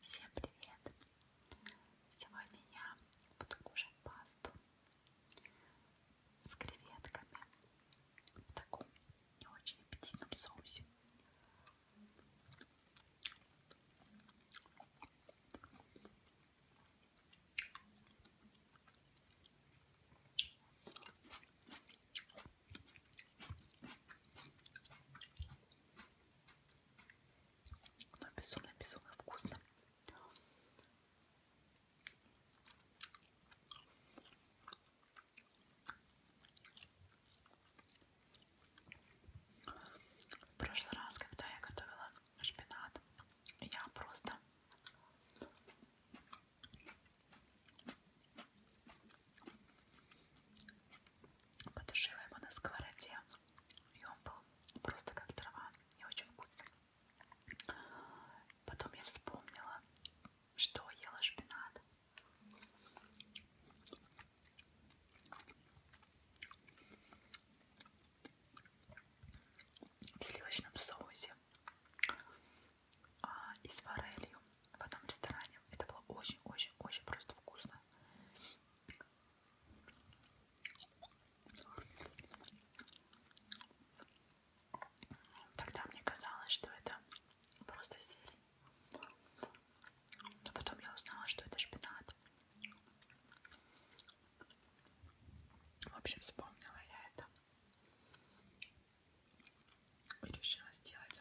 Всем привет! Сегодня я буду кушать пасту с креветками в таком не очень аппетитном соусе. Но безумно-безумно вкусно. В прошлый раз, когда я готовила шпинат, я просто Потушила его на сковороде, и он был просто как трава, не очень вкусный. Потом я вспомнила, что ела шпинат. В сливочном соусе а, и с форелью. А в одном ресторане. Это было очень-очень-очень просто вкусно. Тогда мне казалось, что это просто зелень. Но а потом я узнала, что это шпинат. В общем, вспомнила я это и решила сделать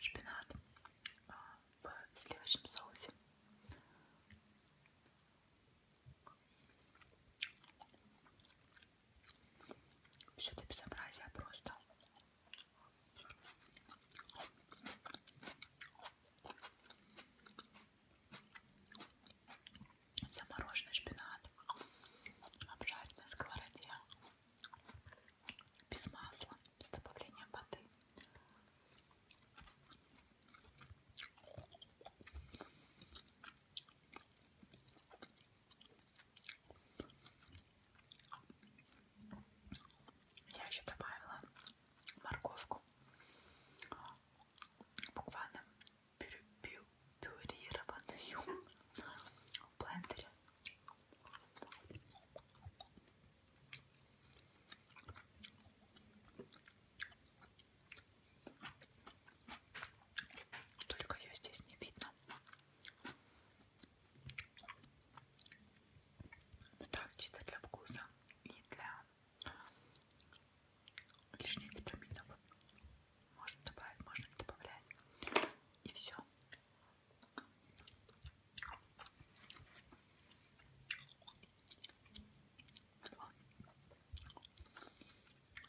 шпинат а, в сливочном соусе. Все это безобразие просто замороженный шпинат, обжарить на сковороде, без масла, без добавления воды. Я еще добавила морковку буквально пюрированную в блендере. Только ее здесь не видно. Ну так, чисто для вкуса и для лишних витаминов. Можно добавить, можно не добавлять. И все.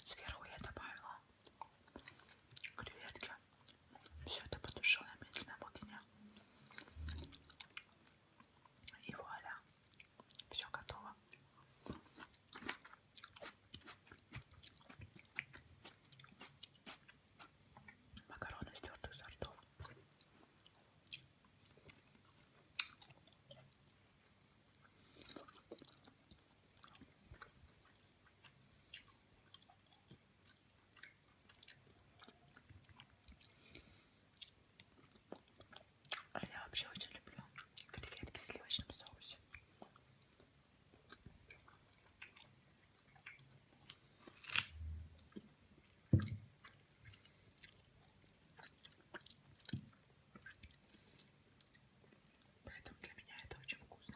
Сверху я добавила креветки. Все это потушила на медленном огне. И вуаля. Все готово. Макароны с твердых сортов. А я вообще очень люблю креветки в сливочном соусе. Поэтому для меня это очень вкусно.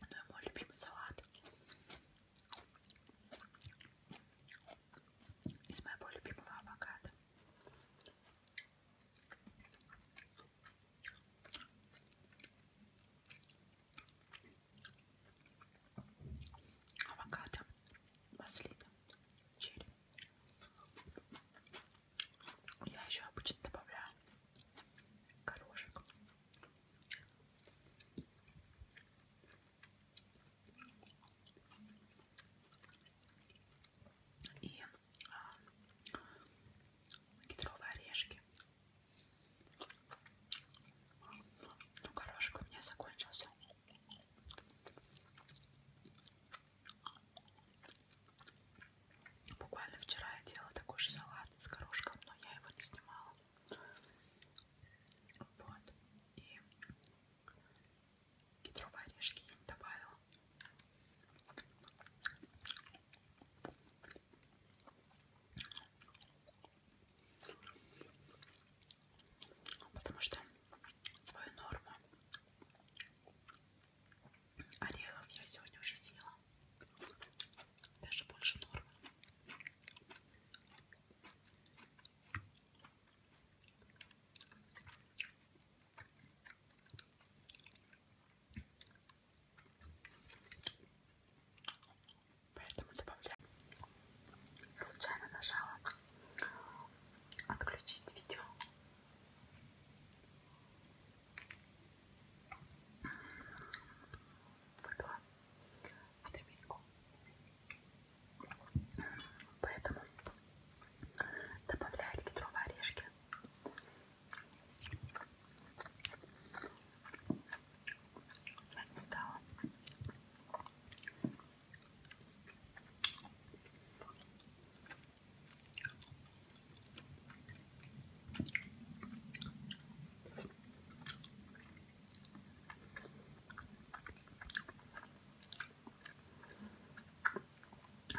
Ну и мой любимый салат из моего любимого авокадо. Авокадо, маслина, черри. Я еще обычно добавляю горошек. И а, кедровые орешки. Ну, горошек у меня закончился. Буквально вчера я делала такой же салат с горошком, но я его не снимала. Вот. И кедровые орешки я не добавила. Потому что свою норму Орехов я сегодня уже съела. Даже больше нормы. Поэтому добавляю. Случайно нажала отключить видео. Выпила витаминку. Поэтому добавлять кедровые орешки. Я не стала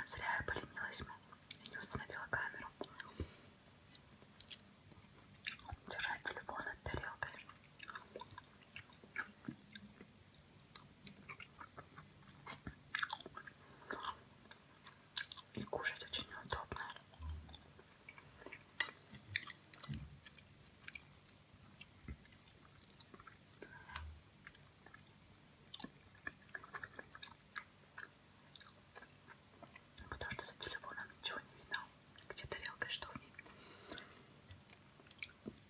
Зря я поленилась и не установила камеру. Держать телефон от тарелкой. И кушать очень удобно. Потому что за телефоном ничего не видно. Где тарелка, что в ней.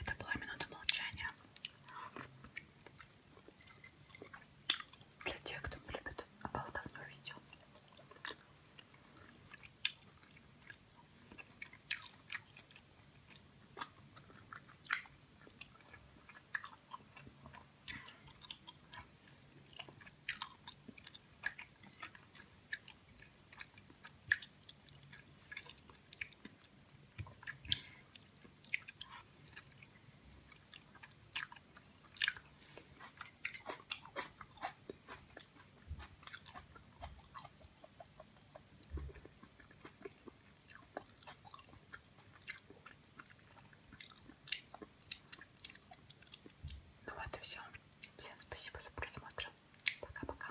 Это была минута молчания для тех, кто не любит обалдовное видео. Ну вот и все. Всем спасибо за просмотр. Пока-пока.